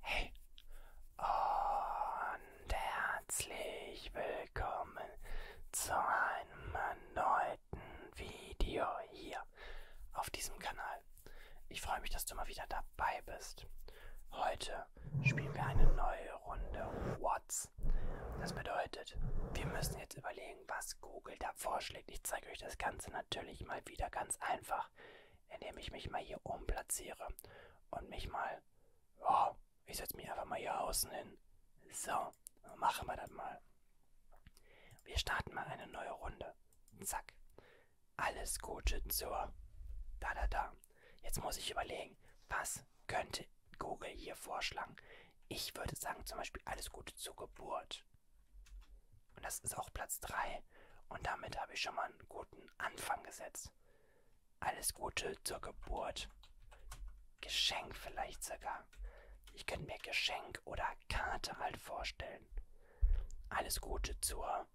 Hey und herzlich willkommen zu einem erneuten Video hier auf diesem Kanal. Ich freue mich, dass du mal wieder dabei bist. Heute spielen wir eine neue Runde What's. Das bedeutet, wir müssen jetzt überlegen, was Google da vorschlägt. Ich zeige euch das Ganze natürlich mal wieder ganz einfach, indem ich mich mal hier umplatziere und mich mal, oh, ich setze mich einfach mal hier außen hin. So, machen wir das mal. Wir starten mal eine neue Runde. Zack. Alles Gute zur da da da. Jetzt muss ich überlegen, was könnte Google hier vorschlagen. Ich würde sagen, zum Beispiel alles Gute zur Geburt. Und das ist auch Platz 3. Und damit habe ich schon mal einen guten Anfang gesetzt. Alles Gute zur Geburt. Geschenk vielleicht sogar. Ich könnte mir Geschenk oder Karte halt vorstellen. Alles Gute zur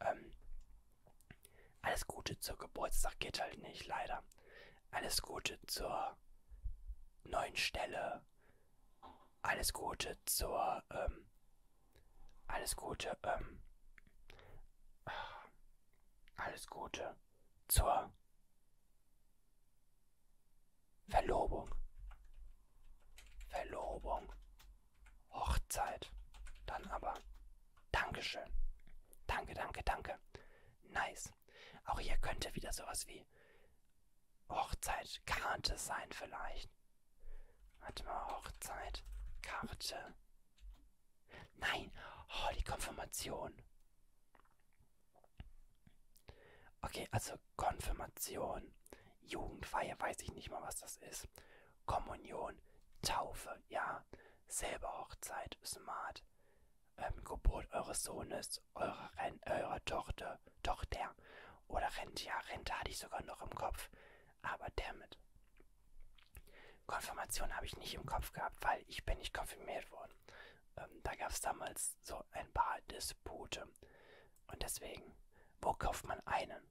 ähm, alles Gute zur Geburtstag geht halt nicht, leider. Alles Gute zur neuen Stelle. Alles Gute zur, ähm, alles Gute, ähm, alles Gute zur Verlobung. Verlobung. Hochzeit. Dann aber Dankeschön. Danke, danke, danke. Nice. Auch hier könnte wieder sowas wie Hochzeitkarte sein vielleicht. Warte mal, Hochzeitkarte. Nein, oh, die Konfirmation. Okay, also Konfirmation, Jugendfeier, weiß ich nicht mal, was das ist. Kommunion, Taufe, ja. Silberhochzeit, smart ähm, Geburt eures Sohnes, eurer, Ren eurer Tochter, Tochter oder Rente, ja, Rente hatte ich sogar noch im Kopf, aber damit. Konfirmation habe ich nicht im Kopf gehabt, weil ich bin nicht konfirmiert worden. Ähm, da gab es damals so ein paar Dispute. Und deswegen, wo kauft man einen?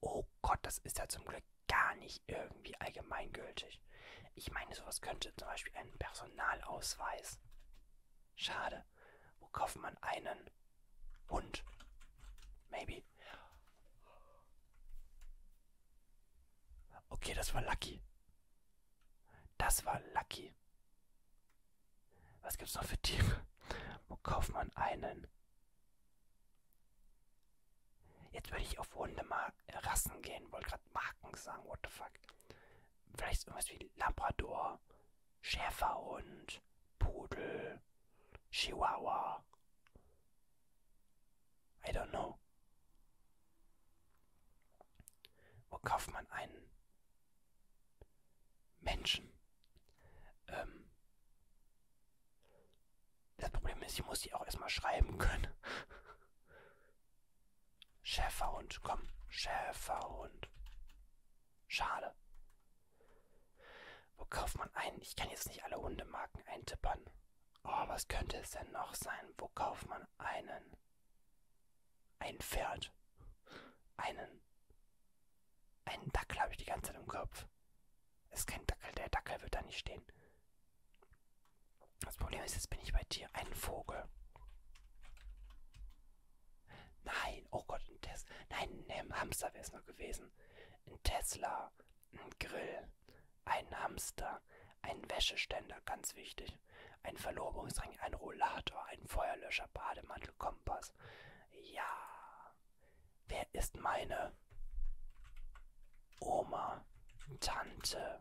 Oh Gott, das ist ja zum Glück gar nicht irgendwie allgemeingültig. Ich meine, sowas könnte zum Beispiel ein Personalausweis. Schade. Wo kauft man einen Hund? Maybe. Okay, das war lucky. Das war lucky. Was gibt's noch für Tiere? Wo kauft man einen Jetzt würde ich auf Hunderassen gehen, wollte gerade Marken sagen, what the fuck. Vielleicht irgendwas wie Labrador, Schäferhund, Pudel, Chihuahua. I don't know. Wo kauft man einen Menschen? Ähm, das Problem ist, ich muss die auch erstmal schreiben können. Schäferhund, komm. Schäferhund. Schade. Wo kauft man einen? Ich kann jetzt nicht alle Hundemarken eintippern. Oh, was könnte es denn noch sein? Wo kauft man einen? Ein Pferd. Einen. Einen Dackel habe ich die ganze Zeit im Kopf. Ist kein Dackel, der Dackel wird da nicht stehen. Das Problem ist, jetzt bin ich bei dir. Ein Vogel. Nein, oh Gott, ein Tesla. Nein, ein Hamster wäre es noch gewesen. Ein Tesla, ein Grill, ein Hamster, ein Wäscheständer, ganz wichtig. Ein Verlobungsring, ein Rollator, ein Feuerlöscher, Bademantel, Kompass. Ja. Wer ist meine? Oma, Tante,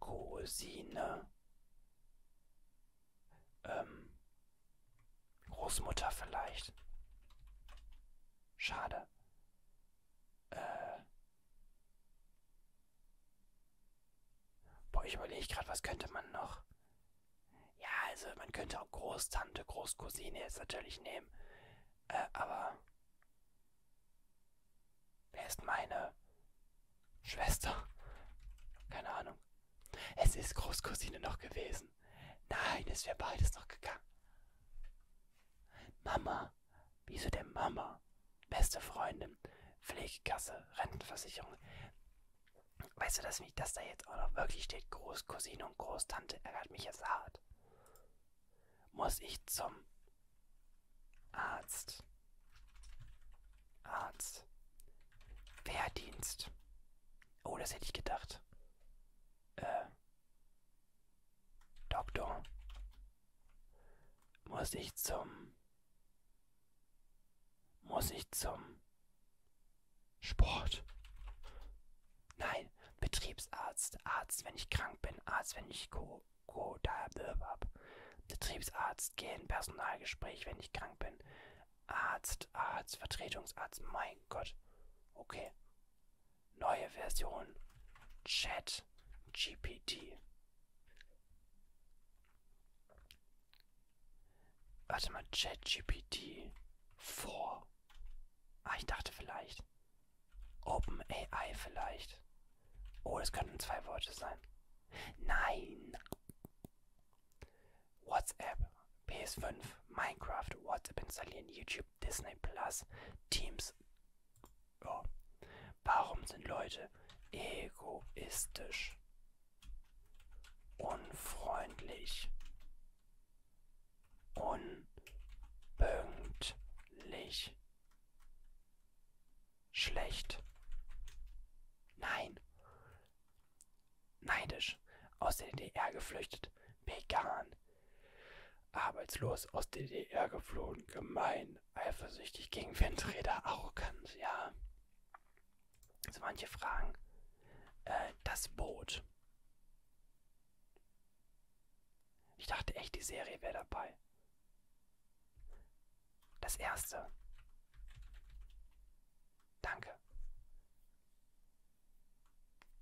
Cousine, ähm, Großmutter vielleicht. Schade. Äh. Boah, ich überlege gerade, was könnte man noch? Ja, also man könnte auch Großtante, Großcousine jetzt natürlich nehmen. Äh, aber wer ist meine Schwester? Keine Ahnung. Es ist Großcousine noch gewesen. Nein, es wäre beides noch gegangen. Mama. Wieso denn Mama? Beste Freundin. Pflegekasse, Rentenversicherung. Weißt du, dass mich das da jetzt auch noch wirklich steht? Großcousine und Großtante ärgert mich jetzt hart muss ich zum Arzt. Arzt. Wehrdienst. Oh, das hätte ich gedacht. Äh. Doktor. Muss ich zum. Muss ich zum. Sport. Nein, Betriebsarzt. Arzt, wenn ich krank bin. Arzt, wenn ich ko guter Bewerb. Betriebsarzt, gehen, Personalgespräch, wenn ich krank bin. Arzt, Arzt, Vertretungsarzt, mein Gott. Okay. Neue Version. Chat GPT. Warte mal, Chat GPT 4. Ah, ich dachte vielleicht. OpenAI vielleicht. Oh, das könnten zwei Worte sein. Nein. WhatsApp, PS5, Minecraft, WhatsApp installieren, YouTube, Disney Plus, Teams. Oh. Warum sind Leute egoistisch? Unfreundlich. Unpünktlich. Schlecht. Nein. Neidisch. Aus der DDR geflüchtet. Vegan. Arbeitslos aus der DDR geflohen. Gemein. Eifersüchtig gegen Windräder. Arrogant. Ja. So manche Fragen. Äh, das Boot. Ich dachte echt, die Serie wäre dabei. Das erste. Danke.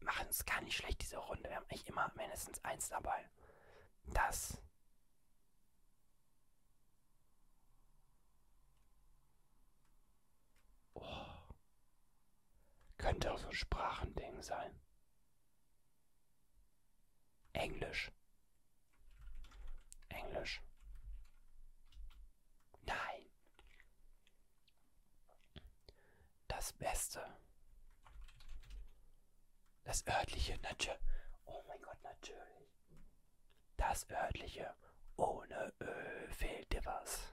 Machen es gar nicht schlecht, diese Runde. Wir haben echt immer mindestens eins dabei. Das. Oh. Könnte auch so ein Sprachending sein. Englisch. Englisch. Nein. Das Beste. Das örtliche, natürlich. Oh mein Gott, natürlich. Das örtliche. Ohne Öl fehlt dir was.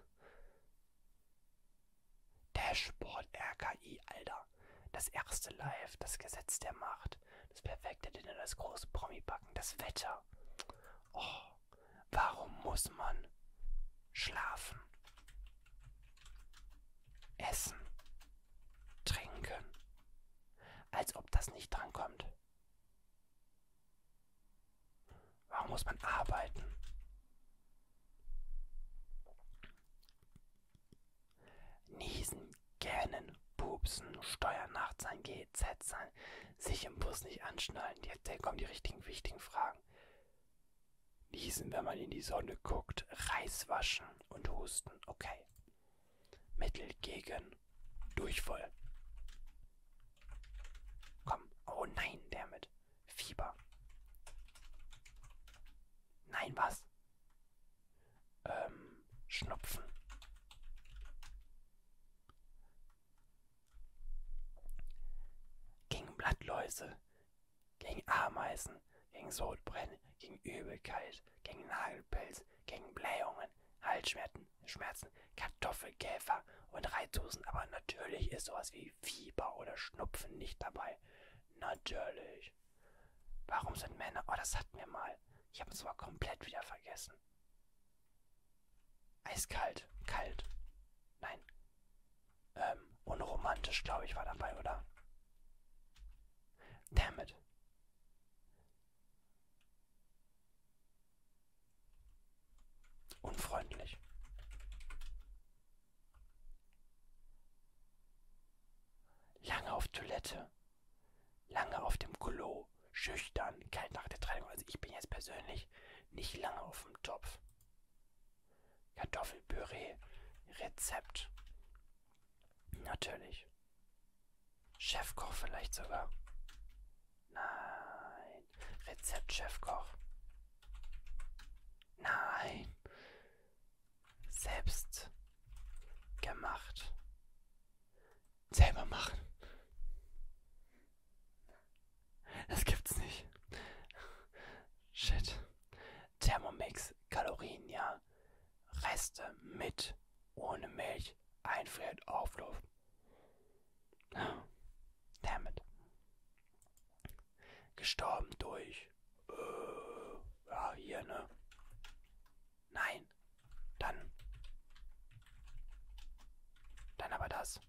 Dashboard RKI, Alter. Das erste Live, das Gesetz der Macht, das perfekte Dinner, das große Promi-Backen, das Wetter. Oh, warum muss man schlafen, essen, trinken? Als ob das nicht drankommt. Warum muss man arbeiten? Niesen, gähnen, pupsen, steuern, nachts sein, GZ sein, sich im Bus nicht anschnallen. Jetzt kommen die richtigen, wichtigen Fragen. Niesen, wenn man in die Sonne guckt, Reis waschen und husten. Okay. Mittel gegen Durchfall. Komm. Oh nein, der mit Fieber. Nein, was? ist ähm, Schnupfen. Gegen Blattläuse, gegen Ameisen, gegen Sodbrennen, gegen Übelkeit, gegen Nagelpilz, gegen Blähungen, Halsschmerzen, Schmerzen, Kartoffelkäfer und Reizhusten. Aber natürlich ist sowas wie Fieber oder Schnupfen nicht dabei. Natürlich. Warum sind Männer... Oh, das hatten wir mal. Ich habe es zwar komplett wieder vergessen. Eiskalt. Kalt. Nein. Ähm, unromantisch, glaube ich, war dabei, oder? Damn it. Unfreundlich. Lange auf Toilette. Lange auf dem Klo. Schüchtern. Kalt nach der Trennung. Also ich bin jetzt persönlich nicht lange auf dem Topf. Kartoffelpüree. Rezept. Natürlich. Chefkoch vielleicht sogar. Nein. Rezept Chefkoch. Nein selbst gemacht. Selber machen. Das gibt's nicht. Shit. Thermomix, Kalorien, ja. Reste mit, ohne Milch, einfriert, Auflauf. Damn it. Gestorben durch äh, ja, ah, hier, ne? Nein. Dann. Dann aber das.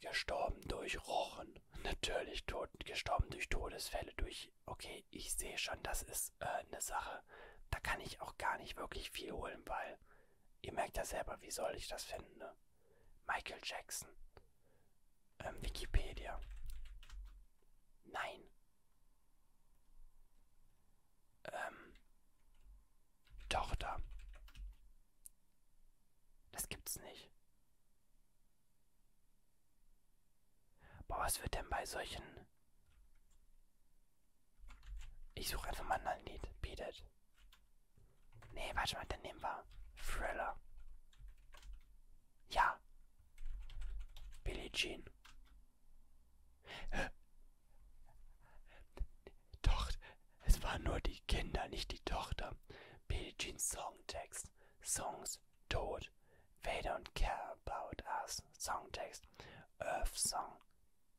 Gestorben durch Rochen. Natürlich tot, gestorben durch Todesfälle, durch... Okay, ich sehe schon, das ist äh, eine Sache. Da kann ich auch gar nicht wirklich viel holen, weil... Ihr merkt ja selber, wie soll ich das finden, ne? Michael Jackson. Ähm, Wikipedia. Nein. Ähm. Tochter. Das gibt's nicht. Boah, was wird denn bei solchen... Ich suche einfach mal ein Lied. Beat it. Nee, warte mal, dann nehmen wir Thriller. Ja. Billie Jean. Doch, es waren nur die Kinder, nicht die Tochter. Billie Jeans Songtext. Songs tot. They don't care about us. Songtext. Earth Song.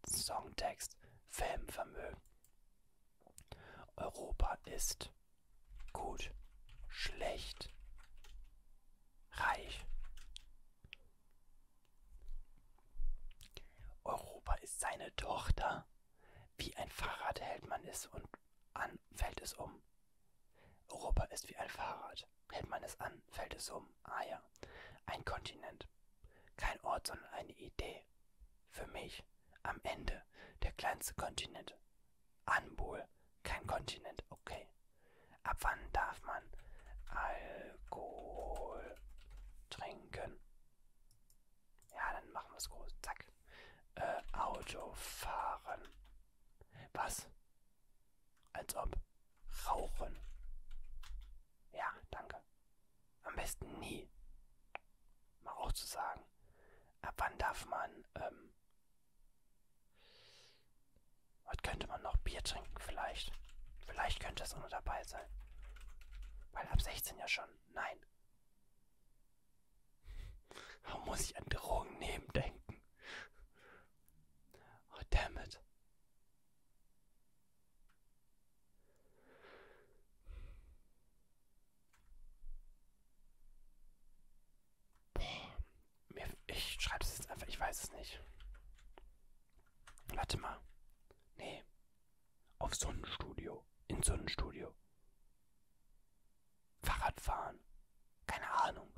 Songtext. Filmvermögen. Europa ist. Gut. Schlecht. Reich. Europa ist seine Tochter. Wie ein Fahrrad hält man es und an fällt es um. Europa ist wie ein Fahrrad. Hält man es an, fällt es um. Ah ja. Ein Kontinent. Kein Ort, sondern eine Idee für mich am Ende der kleinste Kontinent. Anbol, kein Kontinent, okay. Ab wann darf man Alkohol trinken? Ja, dann machen wir es groß. Zack. Äh, Auto fahren. Was? Als ob. Rauchen. Ja, danke. Am besten nie mal auch zu sagen, ab wann darf man, ähm, was könnte man noch? Bier trinken vielleicht. Vielleicht könnte es auch noch dabei sein. Weil ab 16 ja schon. Nein. Warum muss ich an Drogen nehmen denken? Oh, damn it. Boah, ich schreibe es jetzt einfach, ich weiß es nicht. Warte mal. Nee. Auf Sonnenstudio. In Sonnenstudio. Fahrradfahren. Keine Ahnung.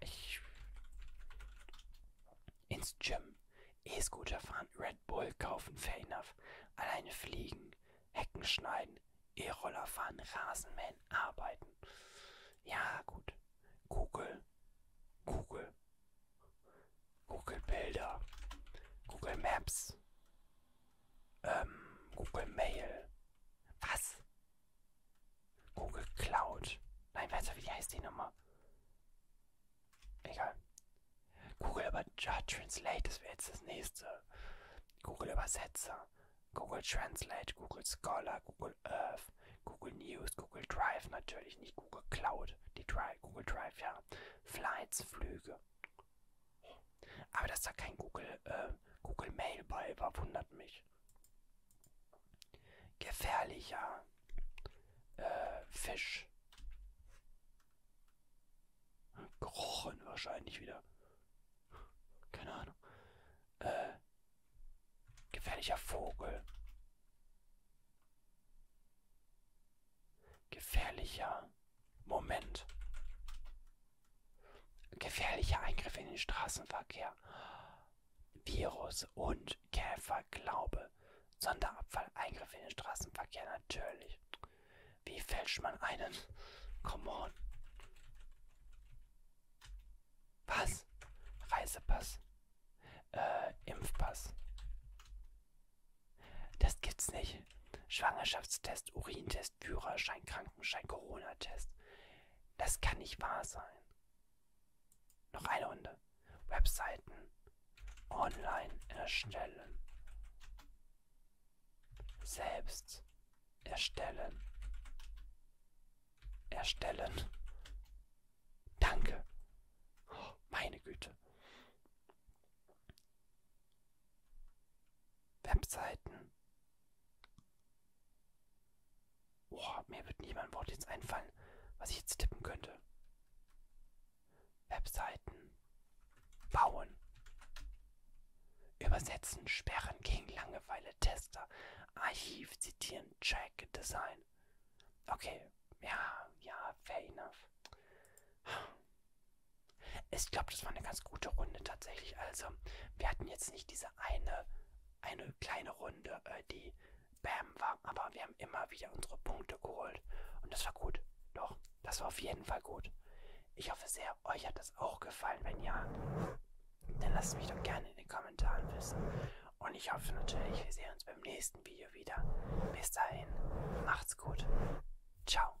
Ich. Ins Gym. E-Scooter fahren. Red Bull kaufen. Fair enough. Alleine fliegen. Hecken schneiden. E-Roller fahren, Rasenmähen, arbeiten. Ja, gut. Google. Google. Google Bilder. Google Maps. Ähm, Google Mail. Was? Google Cloud. Nein, warte, wie heißt die Nummer? Egal. Google über ja, Translate, das wäre jetzt das nächste. Google Übersetzer, Google Translate, Google Scholar, Google Earth, Google News, Google Drive natürlich, nicht Google Cloud, die Drive, Google Drive, ja. Flights, Flüge. Aber dass da kein Google, äh, Google Mail bei war, wundert mich. Gefährlicher äh, Fisch. Gerochen wahrscheinlich wieder. Keine Ahnung. Äh, gefährlicher Vogel. Gefährlicher Moment. Gefährlicher Eingriff in den Straßenverkehr. Virus und Käferglaube. Sonderabfall, Eingriff in den Straßenverkehr, natürlich. Wie fälscht man einen? Come on. Pass. Reisepass. Äh, Impfpass. Das gibt's nicht. Schwangerschaftstest, Urintest, Führerschein, Krankenschein, Corona-Test. Das kann nicht wahr sein. Noch eine Runde. Webseiten. Online erstellen. Selbst erstellen. Erstellen. Danke. Oh, meine Güte. Webseiten. Boah, mir wird niemand Wort jetzt einfallen, was ich jetzt tippen könnte. Webseiten. Bauen. Übersetzen, Sperren gegen Langeweile, Tester, Archiv, Zitieren, Check, Design. Okay, ja, ja, fair enough. Ich glaube, das war eine ganz gute Runde tatsächlich. Also, wir hatten jetzt nicht diese eine, eine kleine Runde, äh, die Bam war, aber wir haben immer wieder unsere Punkte geholt. Und das war gut. Doch, das war auf jeden Fall gut. Ich hoffe sehr, sehr, euch hat das auch gefallen. Wenn ja, dann lasst mich doch gerne in den Kommentaren wissen. Und ich hoffe natürlich, wir sehen uns beim nächsten Video wieder. Bis dahin, macht's gut. Ciao.